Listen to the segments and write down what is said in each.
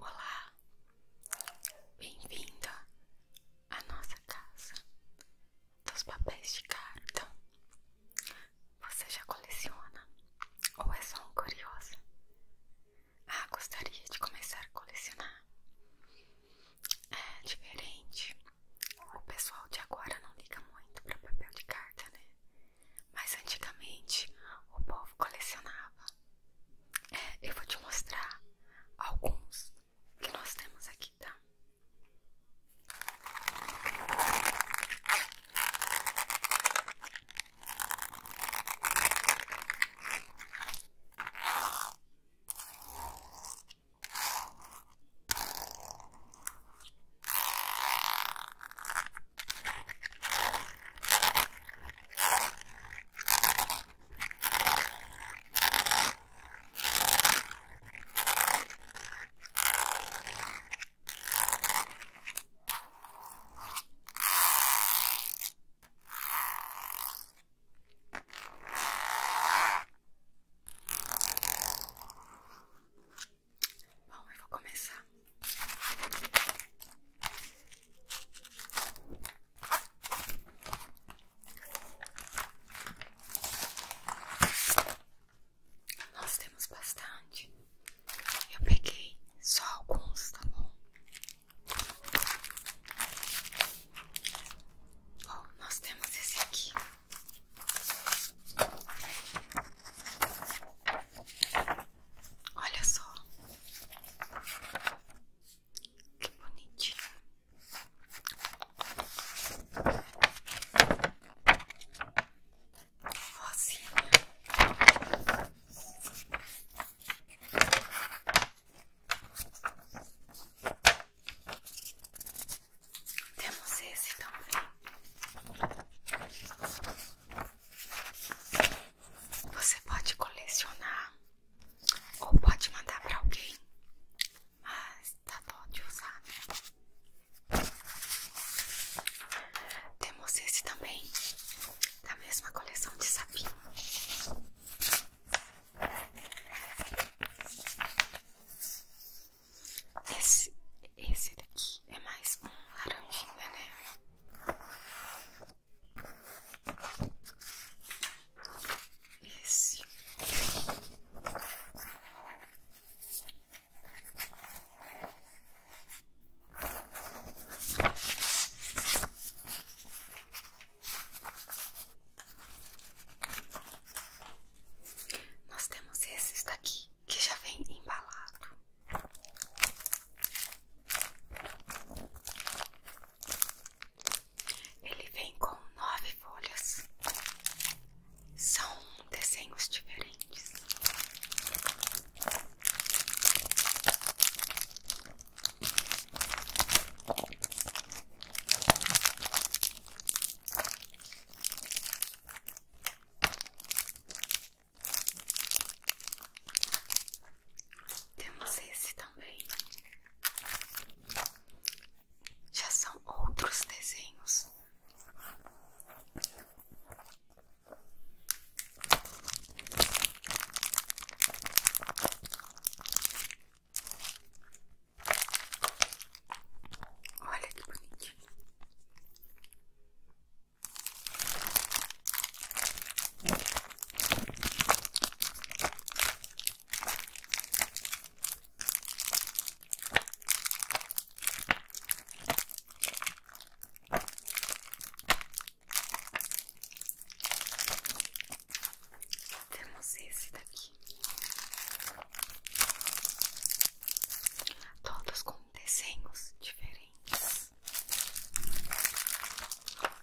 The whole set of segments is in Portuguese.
Olá, bem-vinda à nossa casa dos papéis de carta. Você já coleciona ou é só um curioso? Ah, gostaria de começar a colecionar. É diferente. O pessoal de agora não liga muito para papel de carta, né? Mas antigamente o povo colecionava eu vou te mostrar alguns que nós temos aqui, tá? Bom, eu vou começar nós temos bastante. Eu peguei só alguns, tá bom? Bom, nós temos esse aqui. Olha só que bonitinho. Rosinha. Temos esse também. Você pode colecionar ou pode mandar para alguém, mas tá bom de usar, né? Temos esse também, da mesma coleção de sapinho. Esse, esse daqui é mais um laranjinha, né? Esse. Nós temos esse daqui que já vem embalado. Ele vem com nove folhas. São desenhos diferentes. Temos esse também. Já são outros desenhos. Olha que bonitinho. Temos esse daqui, todos com desenhos diferentes.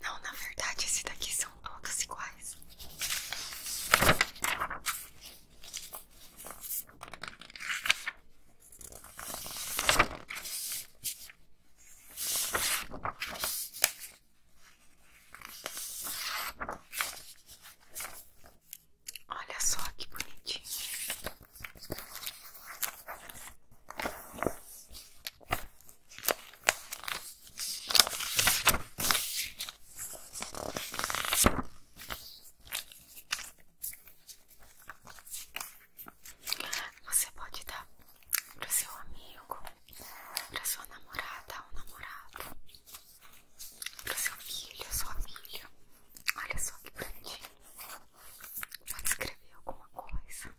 Não, na verdade, esse daqui são todos iguais. Olha só que bonitinho. Você pode dar pro seu amigo, pra sua namorada ou namorado, pro seu filho, sua filha. Olha só que bonitinho. Pode escrever alguma coisa.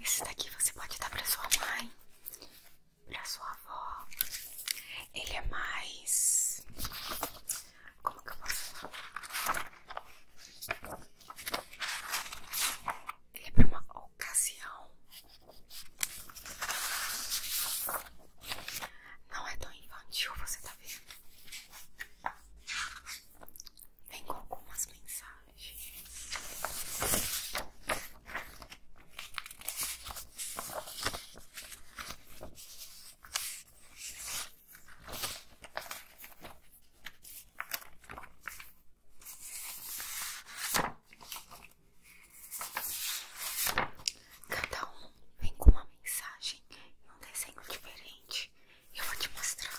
Esse daqui você pode dar para sua mãe, para sua avó. Ele é mais. Como que eu posso falar? Ele é para uma ocasião. Não é tão infantil, você tá vendo? Vem com algumas mensagens. Cada um vem com uma mensagem e um desenho diferente. Eu vou te mostrar.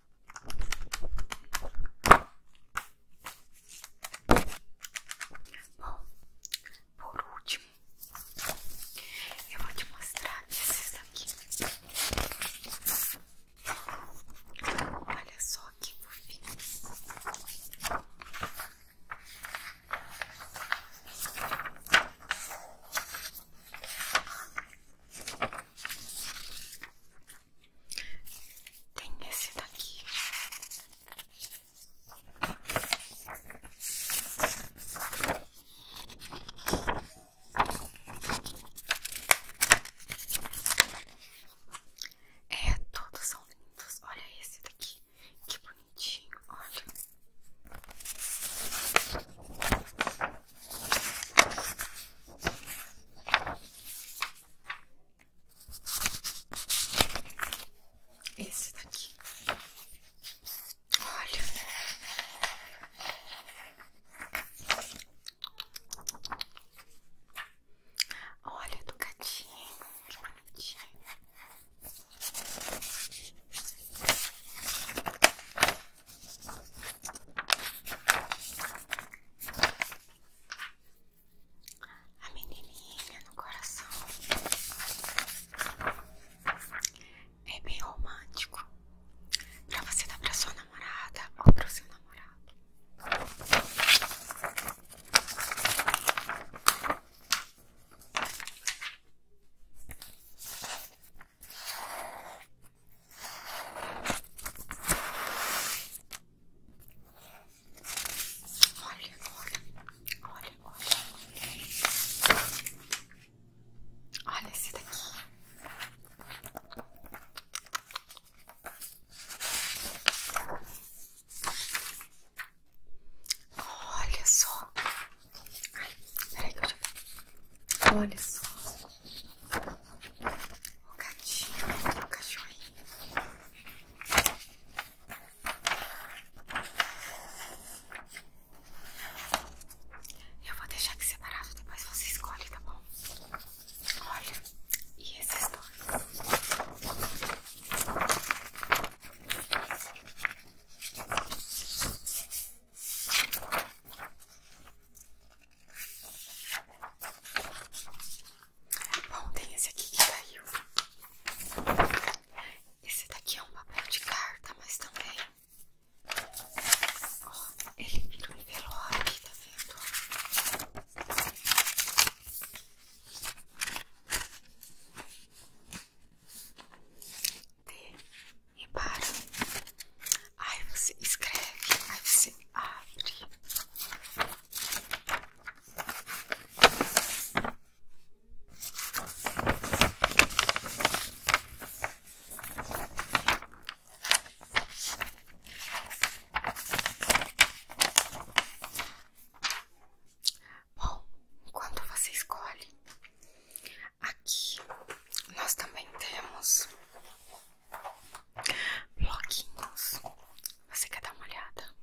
Bom, por último, eu vou te mostrar esses aqui Olha só que fofinho. Tem esse daqui. É, todos são lindos. Olha esse daqui, que bonitinho. Olha. Esse daqui. Olha. Olha do gatinho, que bonitinho a menininha no coração. É bem romântico pra você dar pra sua namorada ou pro seu namorado. Olha, olha, olha, olha. Olha esse daqui. Olha só. Ai, peraí Olha só o gatinho, o cachorrinho. Eu vou deixar aqui separado, depois você escolhe, tá bom? Olha, e esses dois? Bom, tem esse aqui que caiu. Esse daqui é um papel de carta, mas também. Ó, ele virou um envelope tá vendo? Dê e para. Aí você escreve, aí você abre. Bom, quando você escolhe, aqui nós também temos bloquinhos. Você quer dar uma olhada?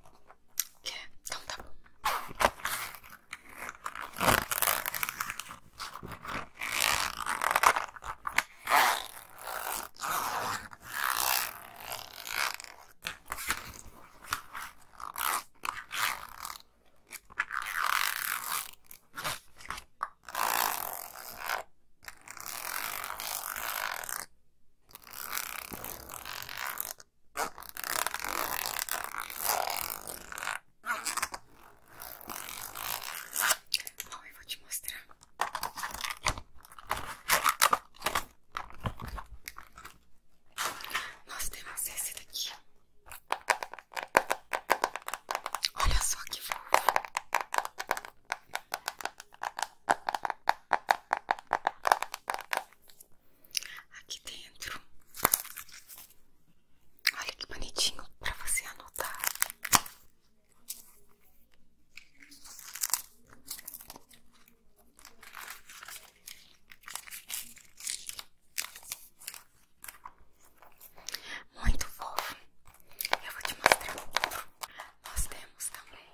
Quer? Então tá bom vou te mostrar. Nós temos esse daqui. Olha só que fofo. Aqui dentro, olha que bonitinho para você anotar. Muito fofo. Eu vou te mostrar. Nós temos também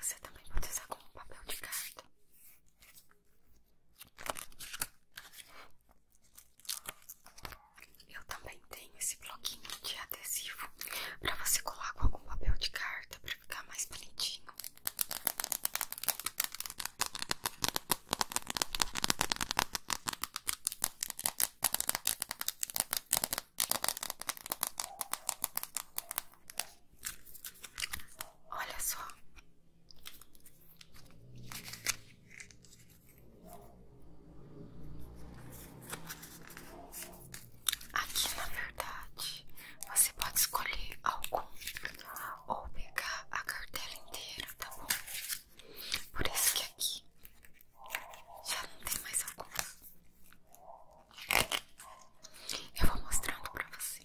Você também pode usar como papel de carta. Eu também tenho esse bloquinho de adesivo para você colar com algum papel de carta para ficar mais bonitinho. Olha só, Aqui na verdade você pode escolher algum ou pegar a cartela inteira, tá bom? Por isso que aqui já não tem mais algum. Eu vou mostrando pra você.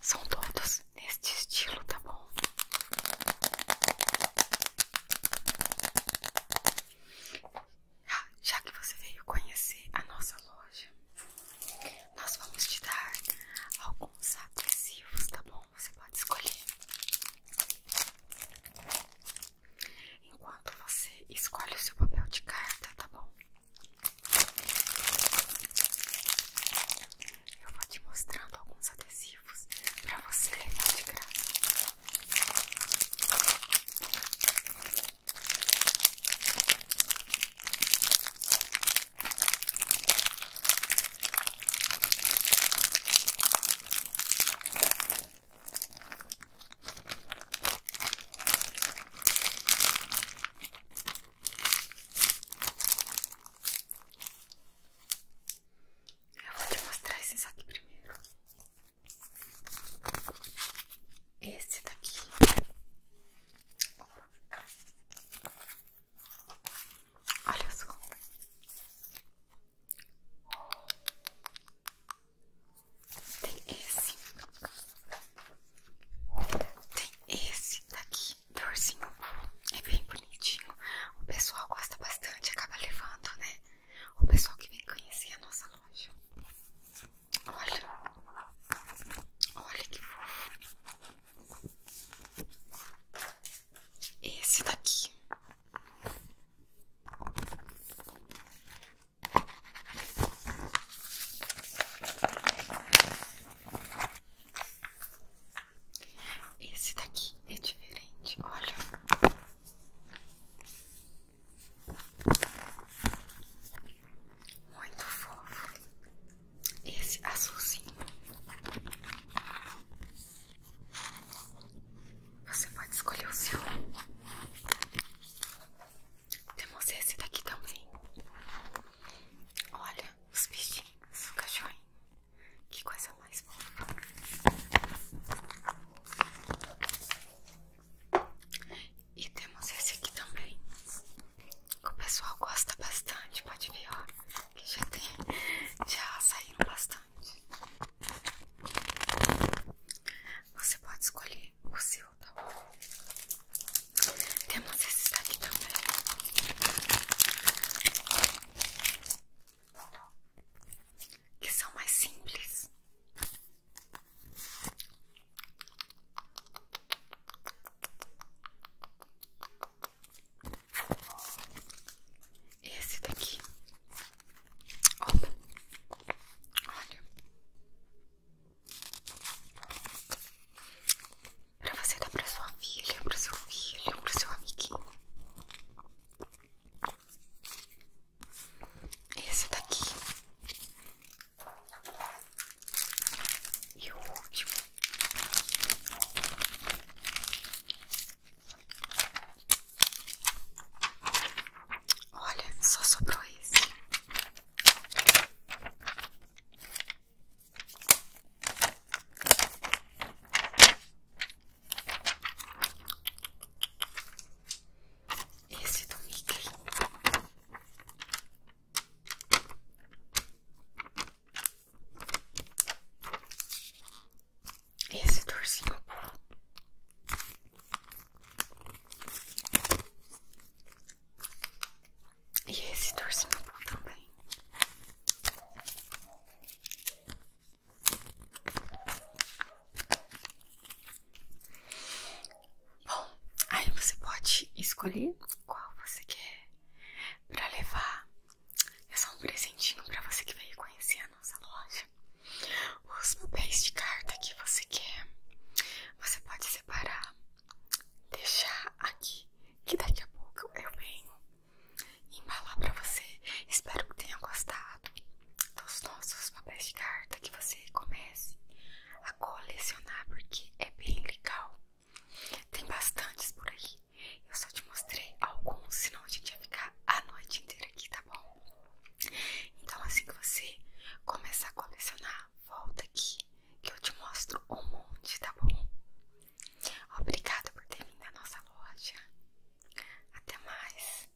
São todos neste estilo, tá bom? Ah, já que você veio conhecer a nossa loja, nós vamos te dar alguns adesivos, tá bom? Você pode escolher. Enquanto você escolhe o seu papel de carta, tá bom? Eu vou te mostrando alguns adesivos para você levar de graça. Eu vou te mostrar esse aqui primeiro. Esse daqui. Olha só. Tem esse. Tem esse daqui do É bem bonitinho. O pessoal gosta bastante, acaba levando, né? O pessoal que vem conhecer a nossa loja. Olha. Olha que fofo. Esse daqui. Esse daqui é diferente, olha. Muito fofo. Esse azulzinho. Você pode escolher o seu. Temos esse daqui também. Olha os bichinhos, o cachorrinho. Que coisa mais fofa. E temos esse aqui também. que O pessoal gosta bastante, pode ver, ó. Que já tem, já saíram bastante. Você pode escolher o seu, tá bom? Temos esses daqui também. Que são mais simples. Esse daqui. Opa. Olha. Pra você dar pra sua filha, pro seu filho, pro seu amiguinho. Esse daqui. E o último. Olha, só sobrou esse. Esse do Mickey. Esse do ursinho e esse torcinho também. Bom, aí você pode escolher qual você quer pra levar. É só um presentinho pra você que veio conhecer a nossa loja. Os papéis de carta que você quer, você pode separar deixar aqui, que daqui a pouco eu venho embalar pra você. Espero que tenha gostado dos nossos papéis de carta, que você comece a colecionar, porque é bem legal. Tem bastantes por aí. Eu só te mostrei alguns, senão a gente ia ficar a noite inteira aqui, tá bom? Então, assim que você começar a colecionar, volta aqui que eu te mostro um monte, tá bom? obrigado por ter vindo à nossa loja. Até mais.